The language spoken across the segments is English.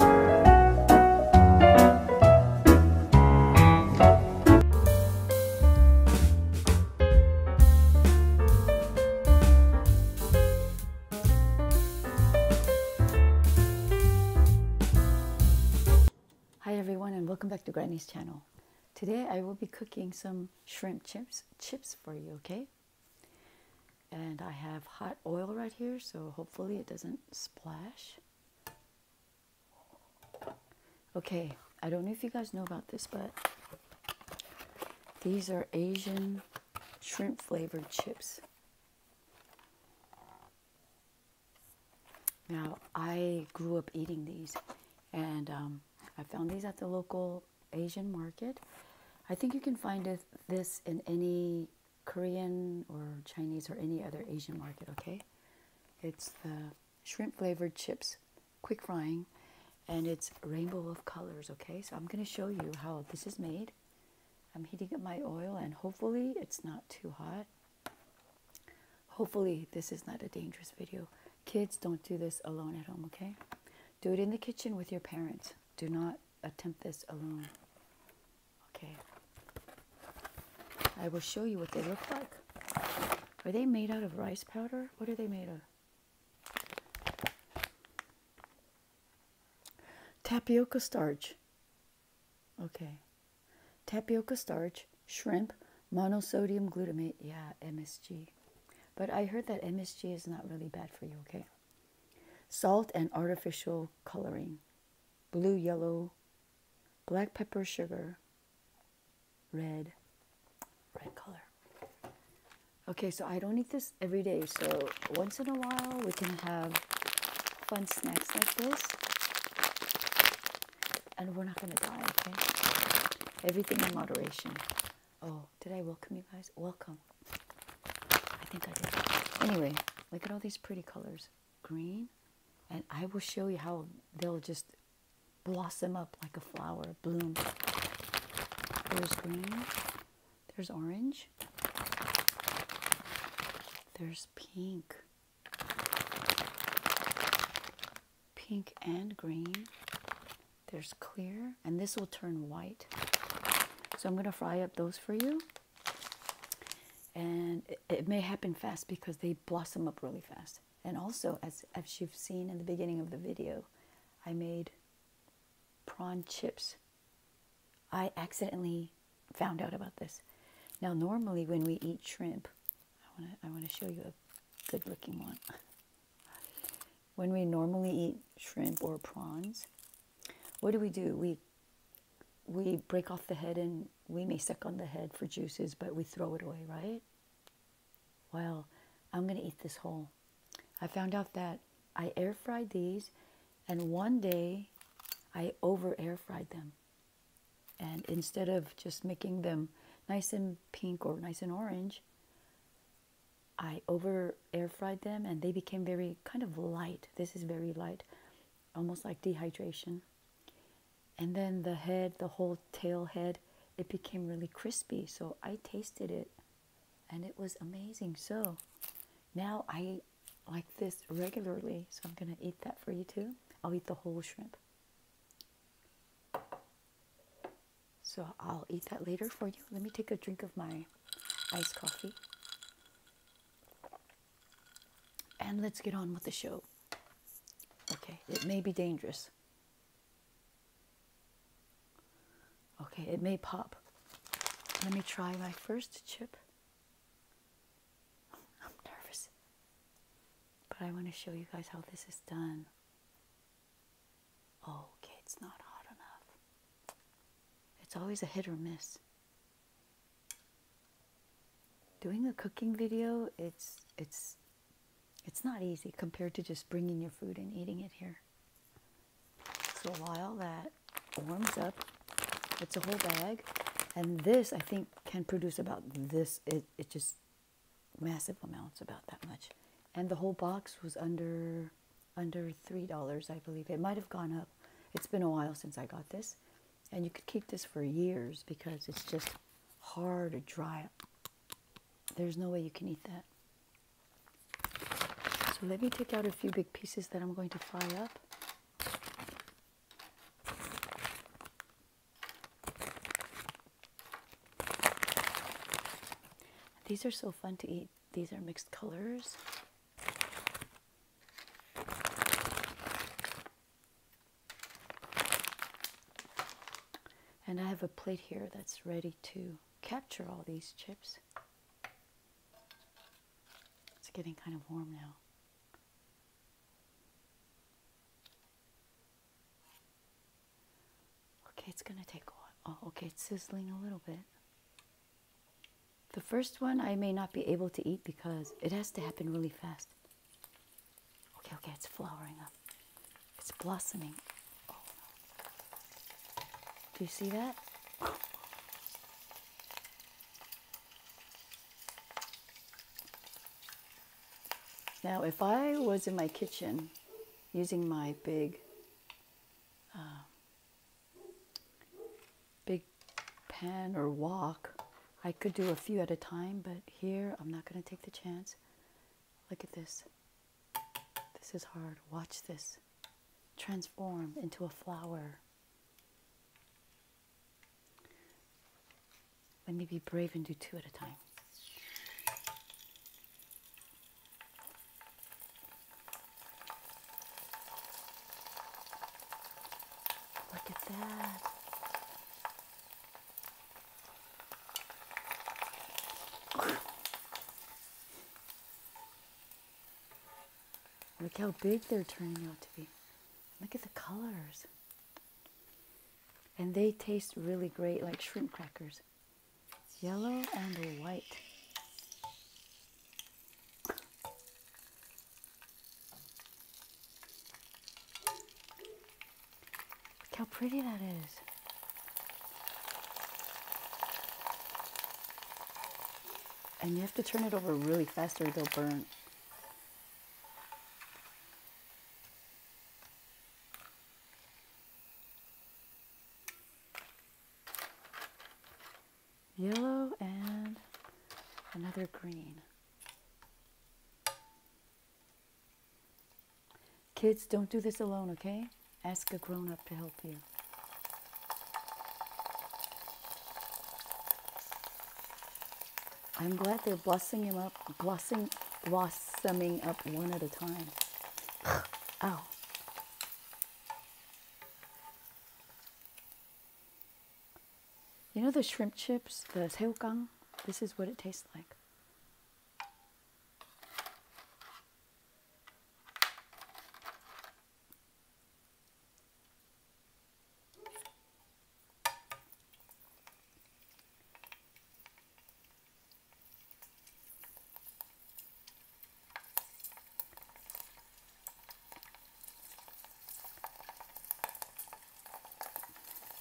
Hi everyone and welcome back to Granny's channel. Today I will be cooking some shrimp chips chips for you, okay? and I have hot oil right here so hopefully it doesn't splash okay I don't know if you guys know about this but these are Asian shrimp flavored chips now I grew up eating these and um, I found these at the local Asian market I think you can find this in any Korean or Chinese or any other Asian market, okay? It's the shrimp flavored chips, quick frying, and it's rainbow of colors, okay? So I'm going to show you how this is made. I'm heating up my oil and hopefully it's not too hot. Hopefully this is not a dangerous video. Kids, don't do this alone at home, okay? Do it in the kitchen with your parents. Do not attempt this alone. Okay. I will show you what they look like. Are they made out of rice powder? What are they made of? Tapioca starch. Okay. Tapioca starch, shrimp, monosodium glutamate. Yeah, MSG. But I heard that MSG is not really bad for you, okay? Salt and artificial coloring, blue, yellow, black pepper, sugar, red, red color. Okay, so I don't eat this every day, so once in a while we can have fun snacks like this. And we're not gonna die, okay? Everything in moderation. Oh, did I welcome you guys? Welcome. Oh. I think I did. Anyway, look at all these pretty colors. Green, and I will show you how they'll just blossom up like a flower, bloom. There's green. There's orange. There's pink. Pink and green. There's clear. And this will turn white. So I'm going to fry up those for you and it, may happen fast because they blossom up really fast. And also, as, as you've seen in the beginning of the video, I made prawn chips. I accidentally found out about this. Now, normally when we eat shrimp, I want to I wanna show you a good looking one. When we normally eat shrimp or prawns, what do we do? We we break off the head and we may suck on the head for juices, but we throw it away, right? Well, I'm going to eat this whole. I found out that I air fried these, and one day I over air fried them. And instead of just making them nice and pink or nice and orange, I over air fried them and they became very kind of light. This is very light, almost like dehydration. And then the head, the whole tail head, it became really crispy. So I tasted it and it was amazing. So now I like this regularly. So I'm going to eat that for you too. I'll eat the whole shrimp. So I'll eat that later for you. Let me take a drink of my iced coffee. And let's get on with the show. Okay, it may be dangerous. Okay, it may pop. Let me try my first chip. I'm nervous. But I want to show you guys how this is done. Okay, it's not hot enough. It's always a hit or miss. Doing a cooking video, it's it's it's not easy compared to just bringing your food and eating it here. So while that warms up, it's a whole bag, and this I think can produce about this. It it just massive amounts, about that much, and the whole box was under under $3, I believe. It might have gone up. It's been a while since I got this. And you could keep this for years because it's just hard to dry. up. There's no way you can eat that. So let me take out a few big pieces that I'm going to fry up. These are so fun to eat. These are mixed colors. And I have a plate here that's ready to capture all these chips. It's getting kind of warm now. Okay, it's gonna take a while. Oh, okay, it's sizzling a little bit. The first one I may not be able to eat because it has to happen really fast. Okay, okay, it's flowering up. It's blossoming. Do you see that? Now, if I was in my kitchen using my big uh, big pan or wok. I could do a few at a time, but here I'm not going to take the chance. Look at this. This is hard. Watch this. Transform into a flower. Let me be brave and do two at a time. Look at that. Look how big they're turning out to be. Look at the colors. And they taste really great like shrimp crackers yellow and white. Look how pretty that is. And you have to turn it over really fast or they'll burn. Yellow and another green. Kids, don't do this alone, okay? Ask a grown up to help you. I'm glad they're blossoming him up, blossoming, blossoming up one at a time. Oh. You know the shrimp chips, the seogang? This is what it tastes like.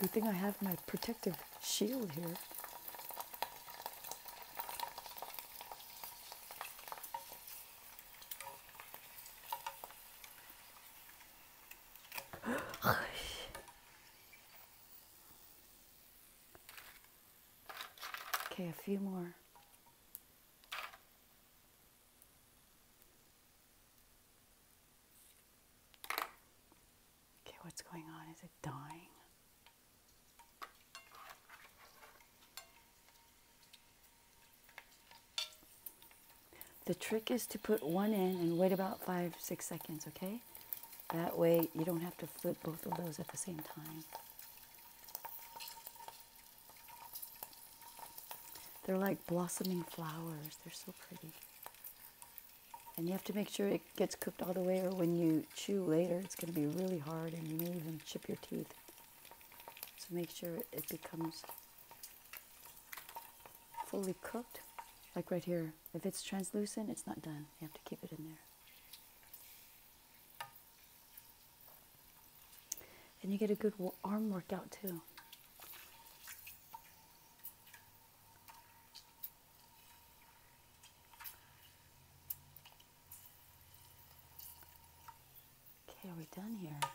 Good thing I have my protective shield here. Okay, a few more. Okay, what's going on? Is it dying? The trick is to put one in and wait about five, six seconds, okay? That way you don't have to flip both of those at the same time. They're like blossoming flowers. They're so pretty. And you have to make sure it gets cooked all the way or when you chew later, it's going to be really hard and you may even chip your teeth. So make sure it becomes fully cooked. Like right here, if it's translucent, it's not done. You have to keep it in there. And you get a good arm workout too. Okay, are we done here? I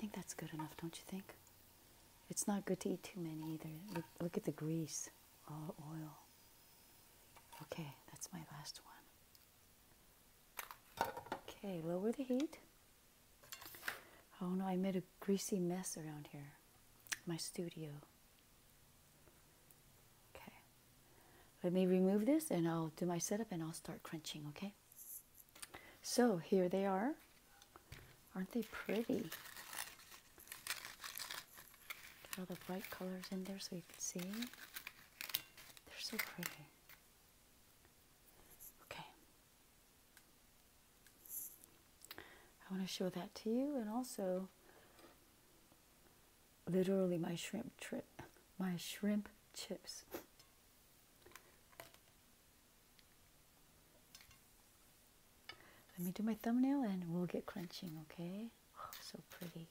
think that's good enough, don't you think? It's not good to eat too many either. look at the grease all oil. Okay, that's my last one. Okay, lower the heat. Oh no, I made a greasy mess around here. My studio. Okay. Let me remove this and I'll do my setup and I'll start crunching, okay? So here they are. Aren't they pretty? Get all the bright colors in there so you can see. They're so pretty. Okay. I want to show that to you and also literally my shrimp trip my shrimp chips let me do my thumbnail and we'll get crunching, okay? Oh, so pretty.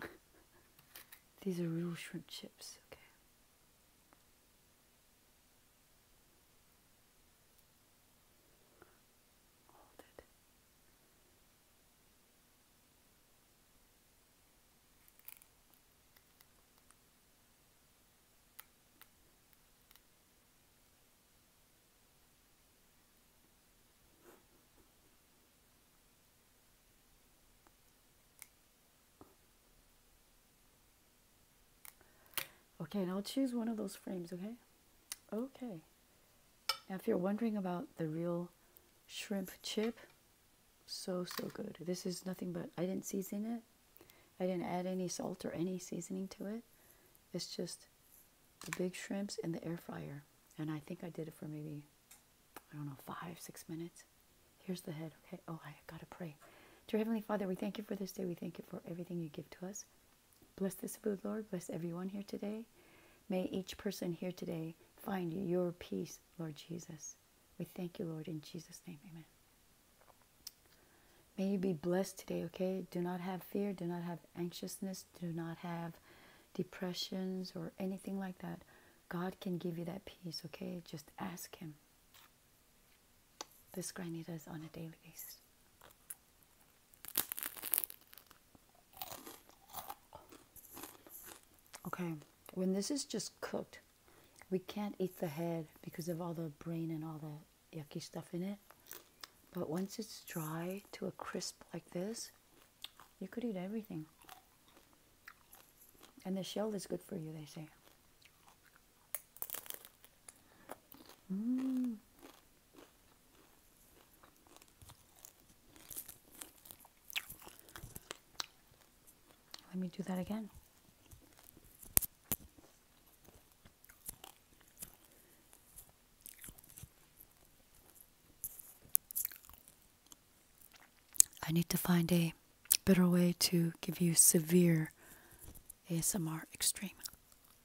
These are real shrimp chips, okay? Hold it. Okay, and I'll choose one of those frames, okay? Okay. Now, if you're wondering about the real shrimp chip, so, so good. This is nothing but, I didn't season it. I didn't add any salt or any seasoning to it. It's just the big shrimps in the air fryer. And I think I did it for maybe, I don't know, five, six minutes. Here's the head, okay? Oh, I gotta pray. Dear Heavenly Father, we thank you for this day. We thank you for everything you give to us. Bless this food, Lord. Bless everyone here today. May each person here today find your peace, Lord Jesus. We thank you, Lord, in Jesus' name. Amen. May you be blessed today, okay? Do not have fear. Do not have anxiousness. Do not have depressions or anything like that. God can give you that peace, okay? Just ask Him. This Granita is on a daily basis. Okay, when this is just cooked, we can't eat the head because of all the brain and all the yucky stuff in it. But once it's dry to a crisp like this, you could eat everything. And the shell is good for you, they say. Mm. Let me do that again. I need to find a better way to give you severe ASMR extreme.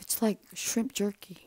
It's like shrimp jerky.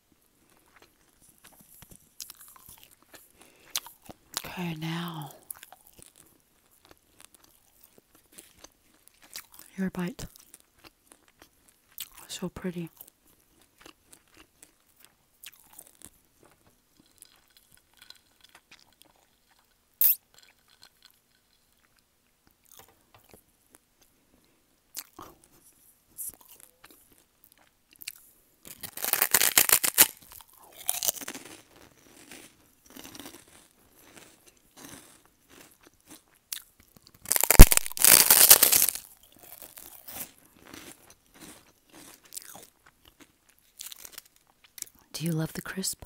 Okay, now your bite. So pretty. Do you love the crisp?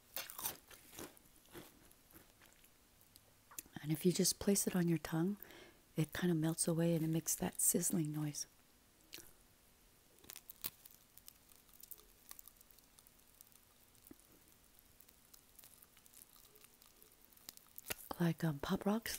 And if you just place it on your tongue, it kind of melts away and it makes that sizzling noise. Like um, pop rocks.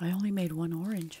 I only made one orange.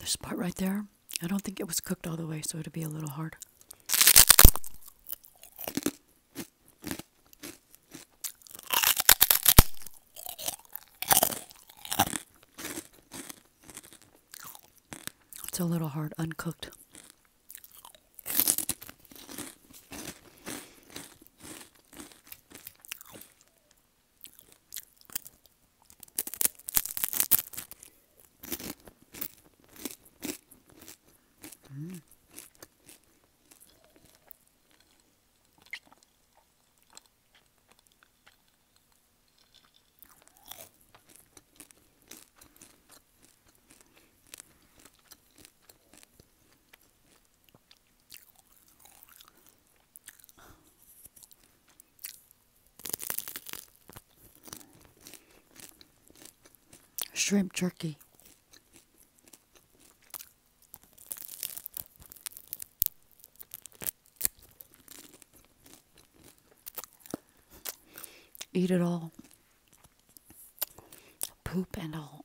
This part right there, I don't think it was cooked all the way, so it'll be a little hard. It's a little hard, uncooked. Mm. Shrimp jerky. Eat it all. Poop and all.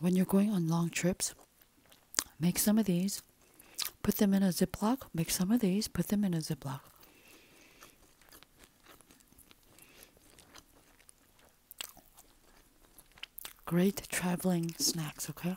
When you're going on long trips, make some of these, put them in a ziplock. make some of these, put them in a ziplock. Great traveling snacks, okay?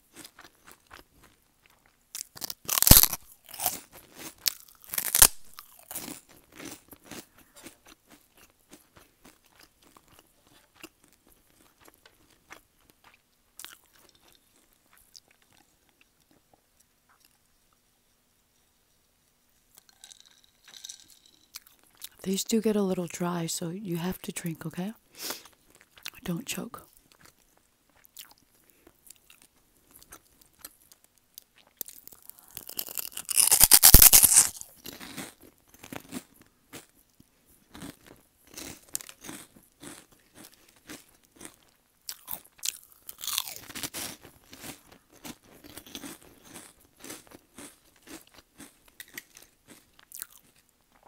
These do get a little dry, so you have to drink, okay? Don't choke.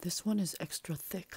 This one is extra thick.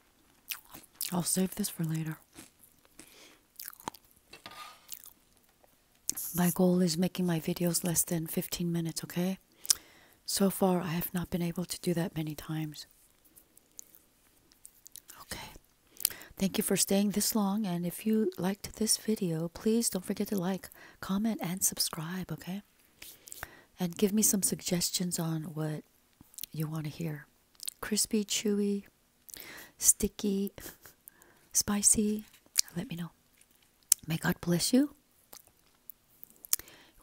I'll save this for later. My goal is making my videos less than 15 minutes, okay? So far, I have not been able to do that many times. Okay. Thank you for staying this long. And if you liked this video, please don't forget to like, comment, and subscribe, okay? and give me some suggestions on what you want to hear crispy, chewy, sticky, spicy. Let me know. May God bless you.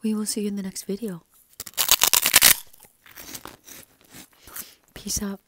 We will see you in the next video. Peace out.